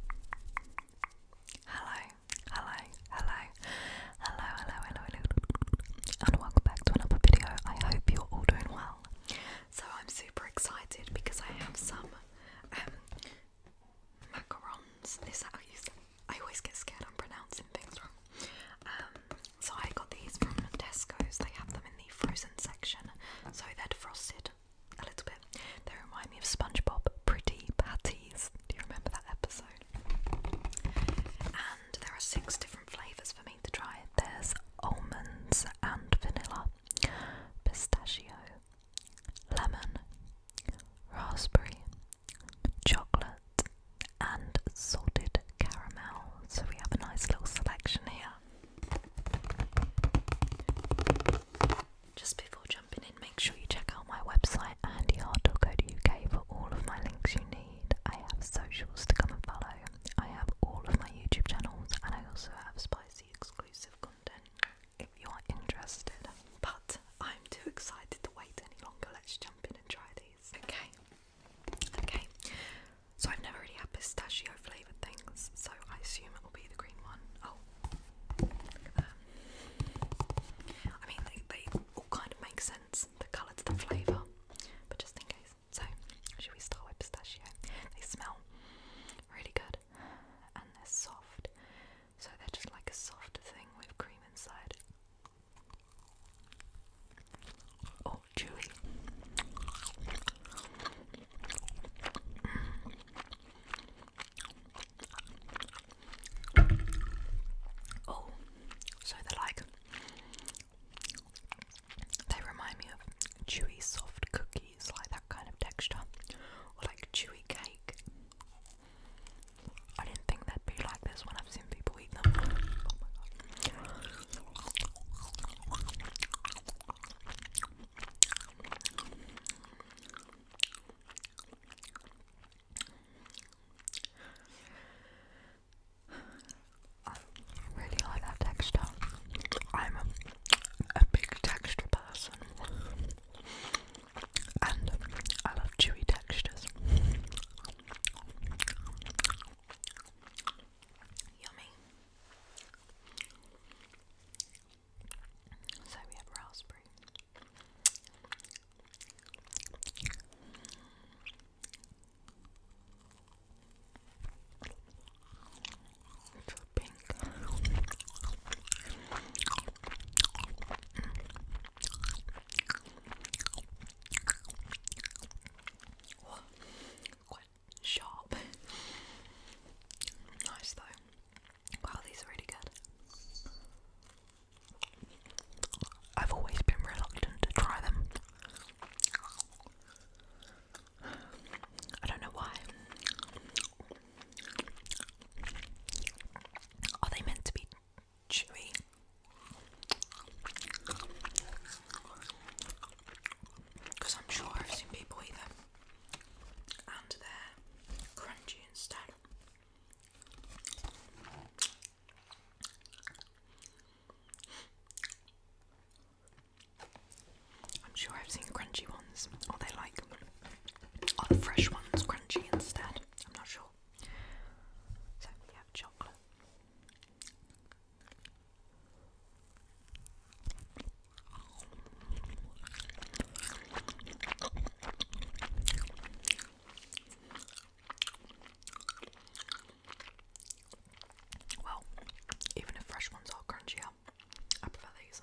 Hello, hello, hello, hello, hello, hello, hello, and welcome back to another video. I hope you're all doing well. So I'm super excited because I have some um, macarons. Is how you say? I always get scared I'm pronouncing things wrong. Um, so I got these from Tesco's. They have them in the frozen section, so they're defrosted a little bit. They remind me of SpongeBob Pretty Patties. Do you remember that episode? And there are six different flavours for me to try. There's almonds and vanilla, pistachio, lemon, raspberry, chocolate, and salted caramel. So we have a nice little selection here. Just before jumping in, make sure you check out my website andyhart.co.uk for all of my links you need. I have socials to come and follow. I have all of my YouTube channels, and I also have spicy exclusive content if you are interested. But I'm too excited to wait any longer. Let's jump in and try these. Okay. Okay. So I've never really had pistachio flavoured things, so I assume it will be the green one. Oh, I mean, they, all kind of make sense the colour the flavour, but just in case. So, should we start with pistachio? They smell really good and they're soft, so they're just like a soft thing with cream inside. Oh, chewy. Oh, so they're like, they remind me of chewy soft cookies, like that kind of texture, or like chewy cake. I didn't think they'd be like this when I've seen people eat them. Oh I really like that texture. I'm a, a big texture person, and I love chewy textures. Yummy. So we have raspberry. It's pink. What? Quite sharp. nice though. Wow, these are really good. I've always been reluctant to try them. I don't know why. Are they meant to be chewy? Because I'm sure I've seen people eat them and they're crunchy instead. I'm sure I've seen crunchy ones, or they like on fresh ones, crunchy instead. I'm not sure. So, yeah, chocolate. Well, even if fresh ones are crunchier, I prefer these.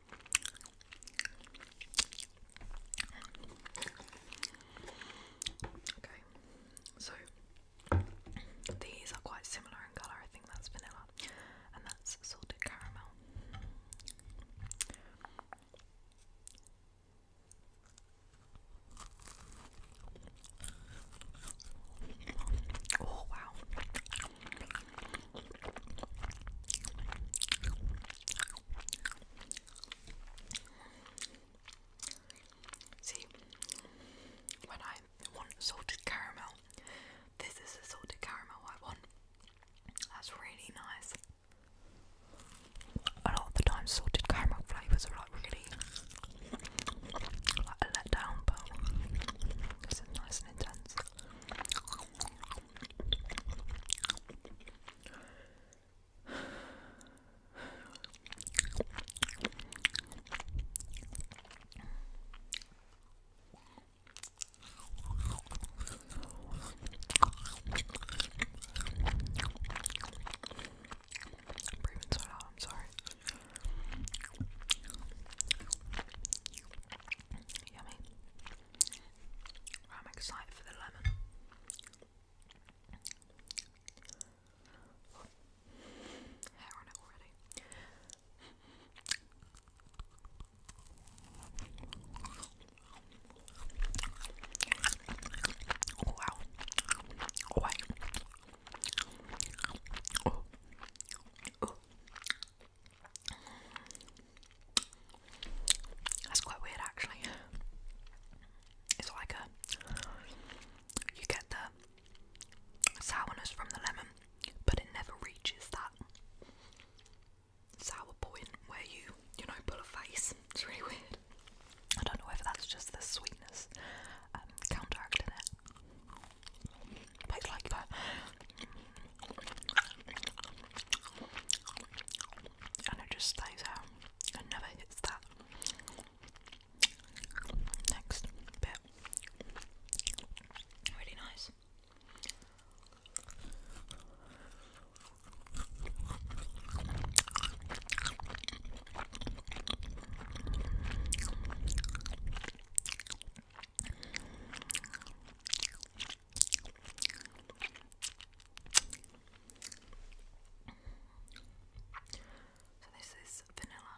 Okay, so these are quite similar in colour. I think that's vanilla and that's salted caramel. Oh wow. See, when I want salted caramel, this is the salted caramel I want. That's really nice. A lot of the time, salted caramel flavours are like really like a letdown, but this is nice and intense breathing so loud, I'm sorry. Yummy. I'm excited for the lemon. hair on it already. Oh, wow. Oh, wow. That's quite weird, actually. It's like a. Uh, you get the sourness from the lemon, but it never reaches that sour point where you, you know, pull a face. It's really weird. I don't know whether that's just the sweetness um, counteracting it. But like that. And it just stays out and never hits that. Next bit. Really nice. So this is vanilla.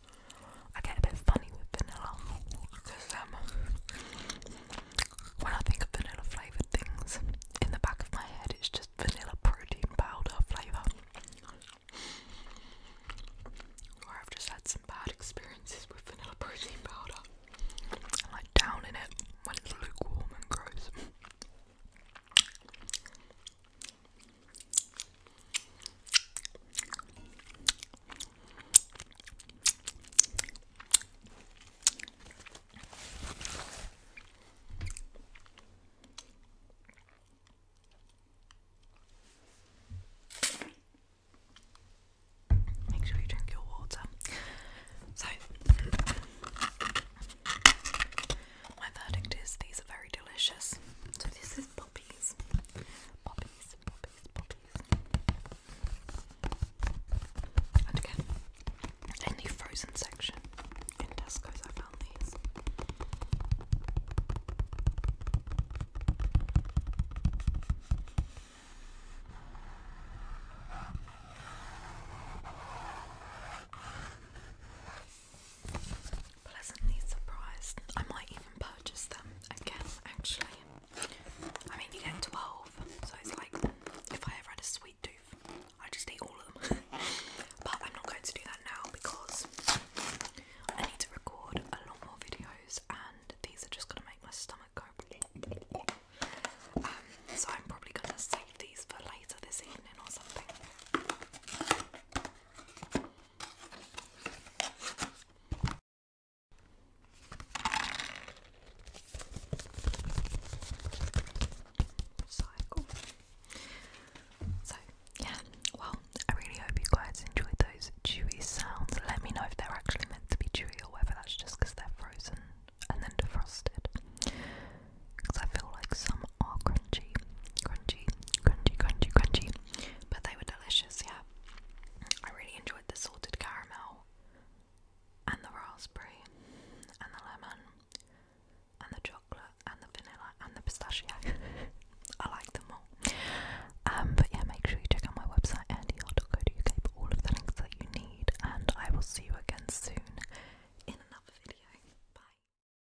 I get a bit funny with vanilla because um, when I think of vanilla flavoured things, in the back of my head it's just vanilla protein powder flavour. Or I've just had some bad experiences with vanilla protein powder. I down in it when it's lukewarm and gross. Make sure you drink your water. So, my verdict is these are very delicious. So, this is poppies. Poppies. And again, in the frozen section in Tesco's, I found these pleasantly surprised. I might even purchase them again, actually. I mean, you get 12, so it's like if I ever had a sweet tooth, I just eat all of them. but I'm not going to do that now because I need to record a lot more videos, and these are just going to make my stomach go. Um, so I'm probably going to save these for later this evening or something. So yeah, well, I really hope you guys enjoyed those chewy sounds. Let me know if they're actually meant to be chewy or whether that's just because they're frozen and then defrosted. Because I feel like some are crunchy, crunchy, crunchy, crunchy, crunchy, but they were delicious, yeah. I really enjoyed the salted caramel, and the raspberry, and the lemon, and the chocolate, and the vanilla, and the pistachio. I like them all. Um, but yeah, make sure you check out my website, andyhart.co.uk, for all of the links that you need, and I will see you again soon in another video. Bye.